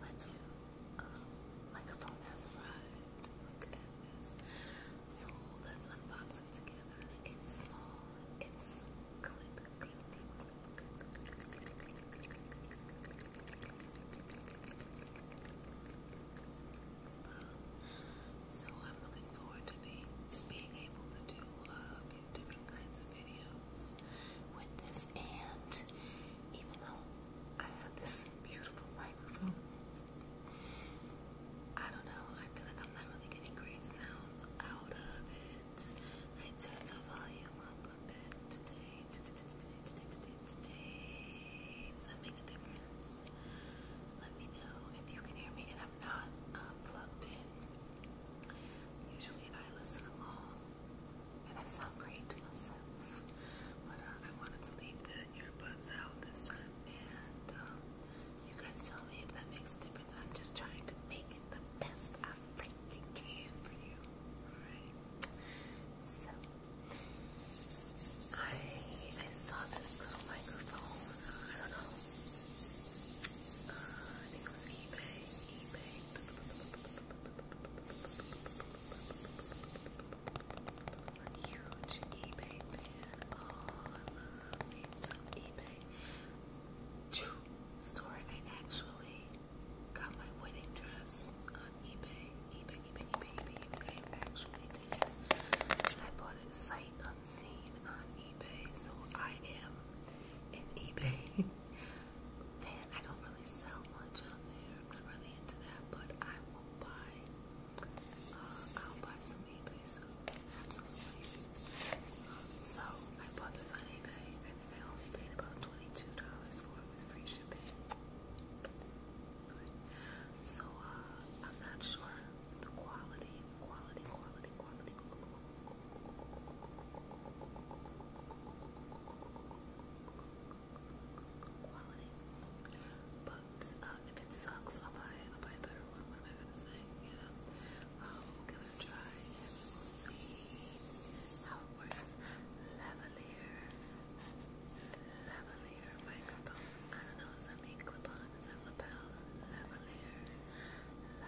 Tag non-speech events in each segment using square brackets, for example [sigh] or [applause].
my microphone has arrived. Look at this. So let's unbox it together. It's small. It's clip, So I'm looking forward to being being able to do different kinds of videos with this, and even though I have this beautiful microphone, I don't know, I feel like I'm not really getting great sounds out of it. I turn the volume up a bit today, Does that make a difference? Let me know if you can hear me and I'm not um, plugged in. Usually I listen along and I great to myself. But uh, I wanted to leave the earbuds out this time. And um, you guys tell me if that makes a difference. I'm just trying to make it the best I freaking can for you. Alright? So, I, I saw this little microphone. Uh, I don't know. Uh, I think it was eBay. eBay i huge eBay fan. Oh, I love me eBay. True story, I actually got my wedding dress on eBay. eBay, eBay, eBay, eBay, actually did. I bought it sight unseen on eBay, so I am an eBay [laughs] Then I don't really sell much on there. I'm not really into that, but I will buy. Uh, I'll buy some eBay soon, absolutely. So I bought this on eBay. I think I only paid about twenty-two dollars for it with free shipping. Sorry. So uh, I'm not sure the quality, quality, quality, quality, quality, quality. Uh, if it sucks, I'll buy, I'll buy a better one. What am I gonna say? You I'll give it a try how it works. Lavalier, lavalier microphone. I don't know. Does that mean clip on? Is that lapel? lavalier.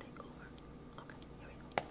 take over. Okay, here we go. Okay,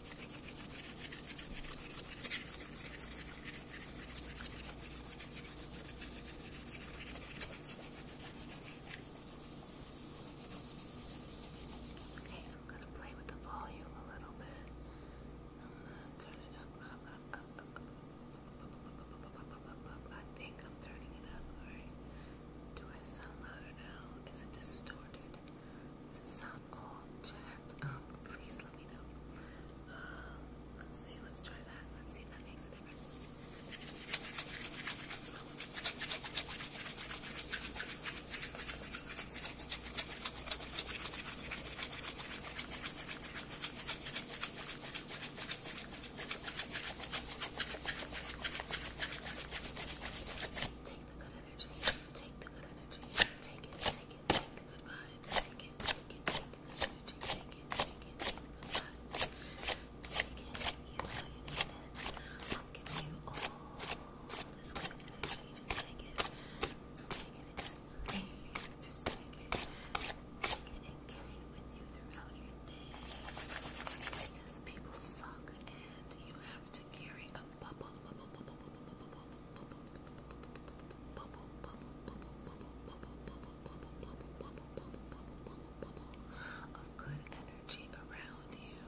Okay, I'm gonna play with the volume a little bit. I'm gonna turn it up, up, up, up, up, up, up, up, up, I think I'm turning it up, alright? Do I sound louder now? Is it distorted? Does it sound I'm all please let me know. Um, let's see, let's try that. Let's see if that makes a difference. Take the good energy. Take the good energy. Take it, take it, take the good vibes. Take it, take it, take the energy. Take it, take it, take the good Take it, you know you need it. I'm giving you all this good energy. Just take it. Take it, it's free. Just take it. Take it and carry it with you throughout your day. Because people suck and you have to carry a of good energy around you.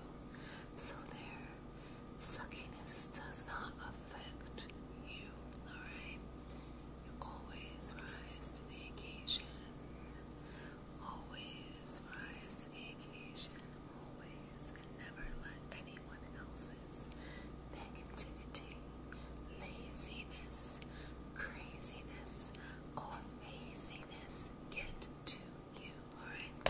So their suckiness does not affect you. Alright? You always rise to the occasion. Always rise to the occasion always and never let anyone else's negativity, laziness, craziness, or haziness get to you, alright?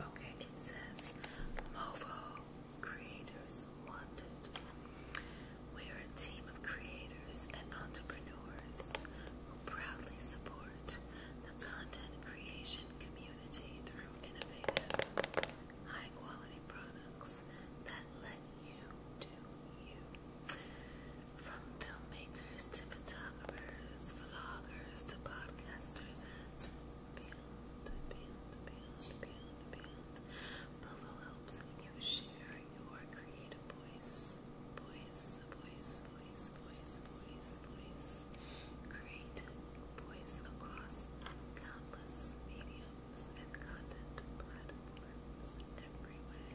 Okay, it says Movo Creators Wanted. We're a team of creators and entrepreneurs who proudly support the content creation community through innovative, high quality products that let you do you. From filmmakers to photographers, vloggers to podcasters and beyond, beyond, beyond, beyond, beyond. Movo helps you share your creative voice, voice, voice, voice, voice, voice, voice. Create voice across countless mediums and content platforms everywhere.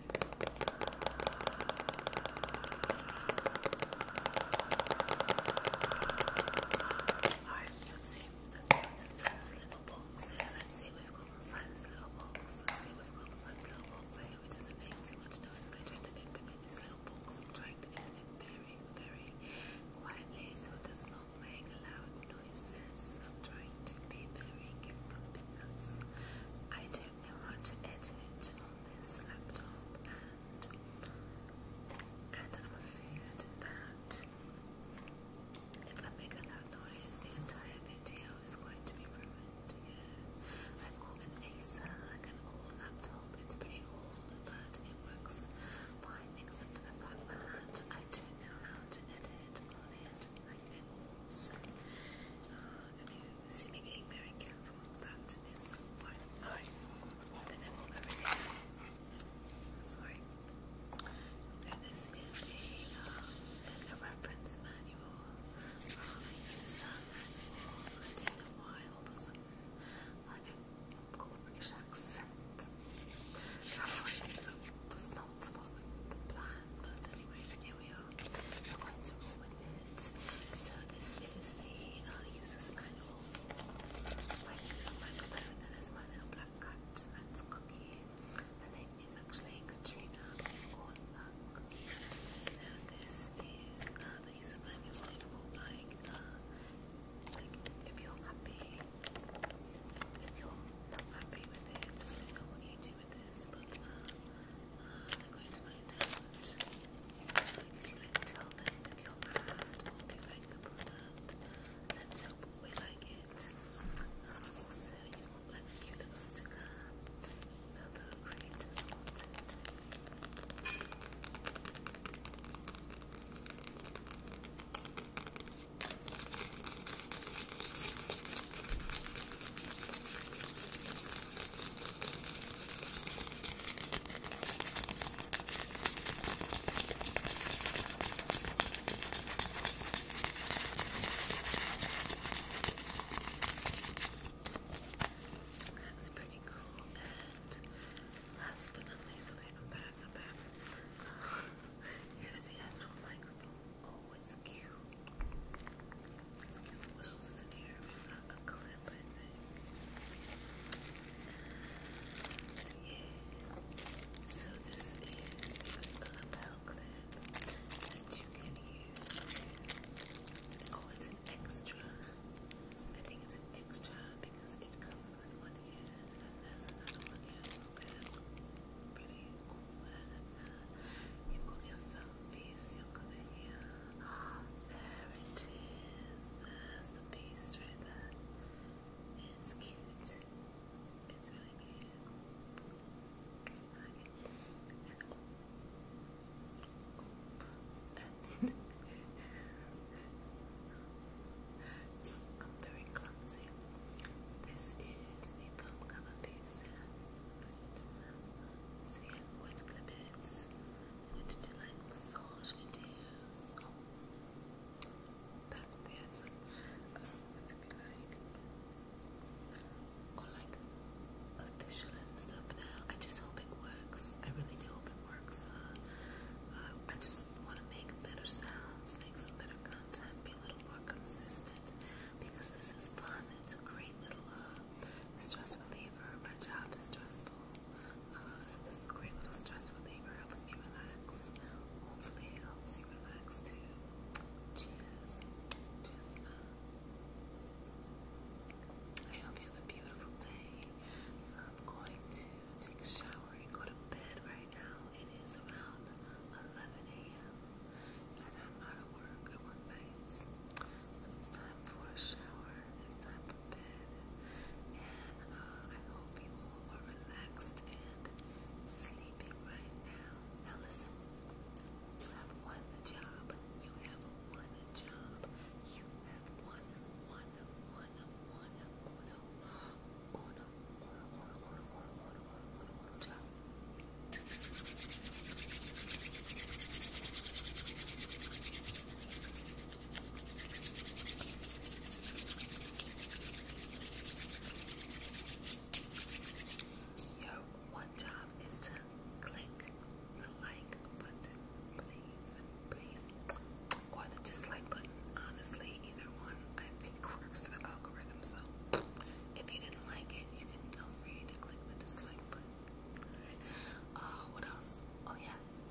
Alright, let's see. Let's see what's inside this little box Let's see what we've got this little box. Let's see what we've got this little box here. It doesn't make too much noise. I try to open this little box. I'm trying to open very, very quietly so it does not make loud noises. I'm trying to be very careful because I don't know how to edit on this laptop that. And I'm afraid that if I make a loud noise, the entire video is going to be ruined. I've an Acer, an old laptop. It's pretty old, but it works fine, except for the fact that I don't know how to edit on it like it all. So, uh, if you see me being very careful, that is fine. I Sorry. And this is a, a reference manual. Um, I use that manual. I a sudden I have a British accent. that was not what the plan, but anyway, here we are. So this is the uh, user's manual for like microphone and my little black cat that's Cookie. Her name is actually Katrina or uh, this is uh, the user manual for uh, like, if you're happy, if you're not happy with it, I don't know what you do with this, but uh, uh, going to find out. It's like tell them with your ad or the product and tell people we like it. also, you want like a cute little sticker. Email the Thank you that was pretty cool. And last but not least, okay, I'm back, I'm back. [laughs] Here's the actual microphone. Oh, it's cute. It's cute. What else in here? but So this is the lapel that you can use. Oh, it's an extra. I think it's an extra because it comes with one here and then there's another one here. Okay, that's pretty cool. You've your phone piece, you've um, there it is. the beast right there. cute. It's really cute. I'm very clumsy. This is the pump cover piece. So yeah, what's clip went to like massage videos back then, so uh, to be like, or like official and stuff now. I just hope it works. I really do hope it works. Uh, uh, I just want to make better sounds, make some better content, be a little more consistent because this is fun. It's a great little uh, stress reliever. My job is stressful so this is a great little stress reliever. Helps me relax. helps you relax too. Cheers. Cheers I hope you have a beautiful day. I'm going to take a shower and go to bed right now. It is around 11 a.m. And I'm not at work. I work nights. So it's time for a shower. It's time and I hope you are relaxed and sleeping right now. Now you have one job. You have one job. You have one, one, one, one, uno, uno, uno, uno, uno, uno, uno, uno, uno job. Your one job is to click the like button, please, please, or the dislike button. Honestly, either one I think works for the algorithm. So if you didn't like it, you can feel free to click the dislike button. Alright. Uh, what else? Oh yeah,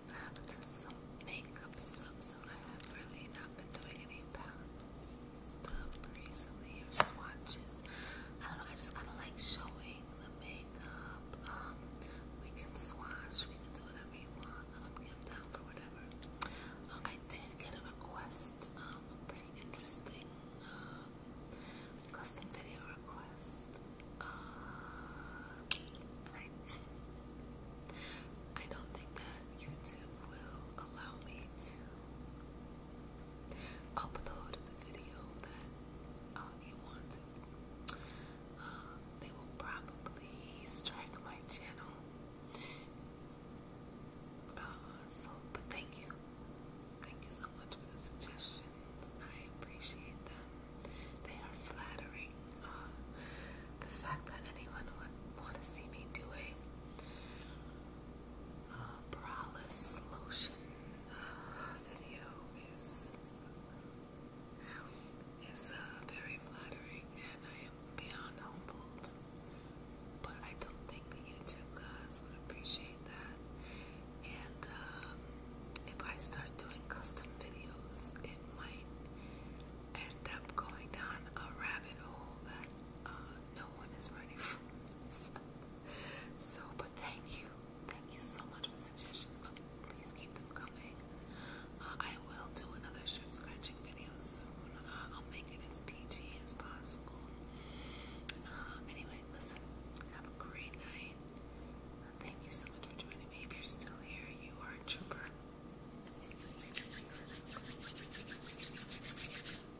going back to some makeup stuff so I have really not been doing any palette stuff recently or swatches. I don't know, I just kind of like showing the makeup. Um, we can swatch, we can do whatever you want. I'm um, down for whatever. Um, I did get a request, a pretty interesting custom video request. Uh, I don't think that YouTube will allow me to upload the video that um, you they will probably strike my channel. Uh, so, but thank you. Thank you so much for the suggestions. I appreciate them. They are flattering. Uh, the fact that anyone would want to see me do braless uh, lotion uh, video is is very flattering, and I am beyond humbled. But I don't think the YouTube guys would appreciate that. And um, if I start doing custom videos, might end up going down a rabbit hole that uh, no one is ready for. [laughs] So, but thank you. Thank you so much for suggestions. please keep them coming. Uh, I will do another shirt scratching video soon. Uh, I'll make it as PG as possible. anyway, listen, have a great night. Thank you so much for joining me. If you're still here, you are a trooper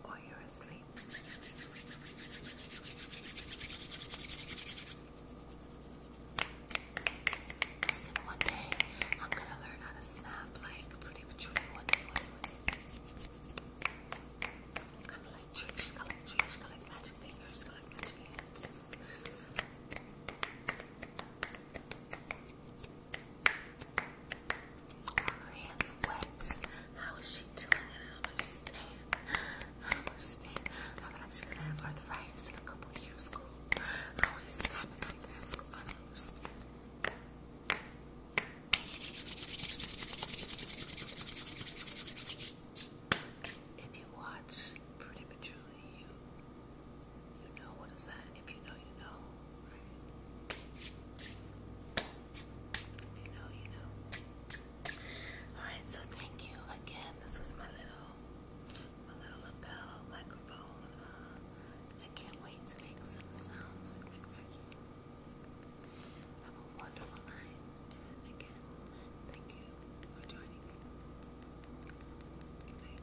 or you're asleep. one day I'm gonna learn how to snap like pretty mature one Kinda like Trish, like Trish, like magic fingers, like magic her hands wet. How is she doing it? I don't understand. I don't understand. I'm not just gonna have arthritis in a couple years, girl. How are you snapping like this? I don't understand. If you watch Pretty Patchouli, you you know what a If you know, you know. Right? If you know, you know. Alright, so thank you again. This was my little my little lapel microphone. Uh, I can't wait to make some sounds with it for you. Have a wonderful night. And again, thank you for joining me. Good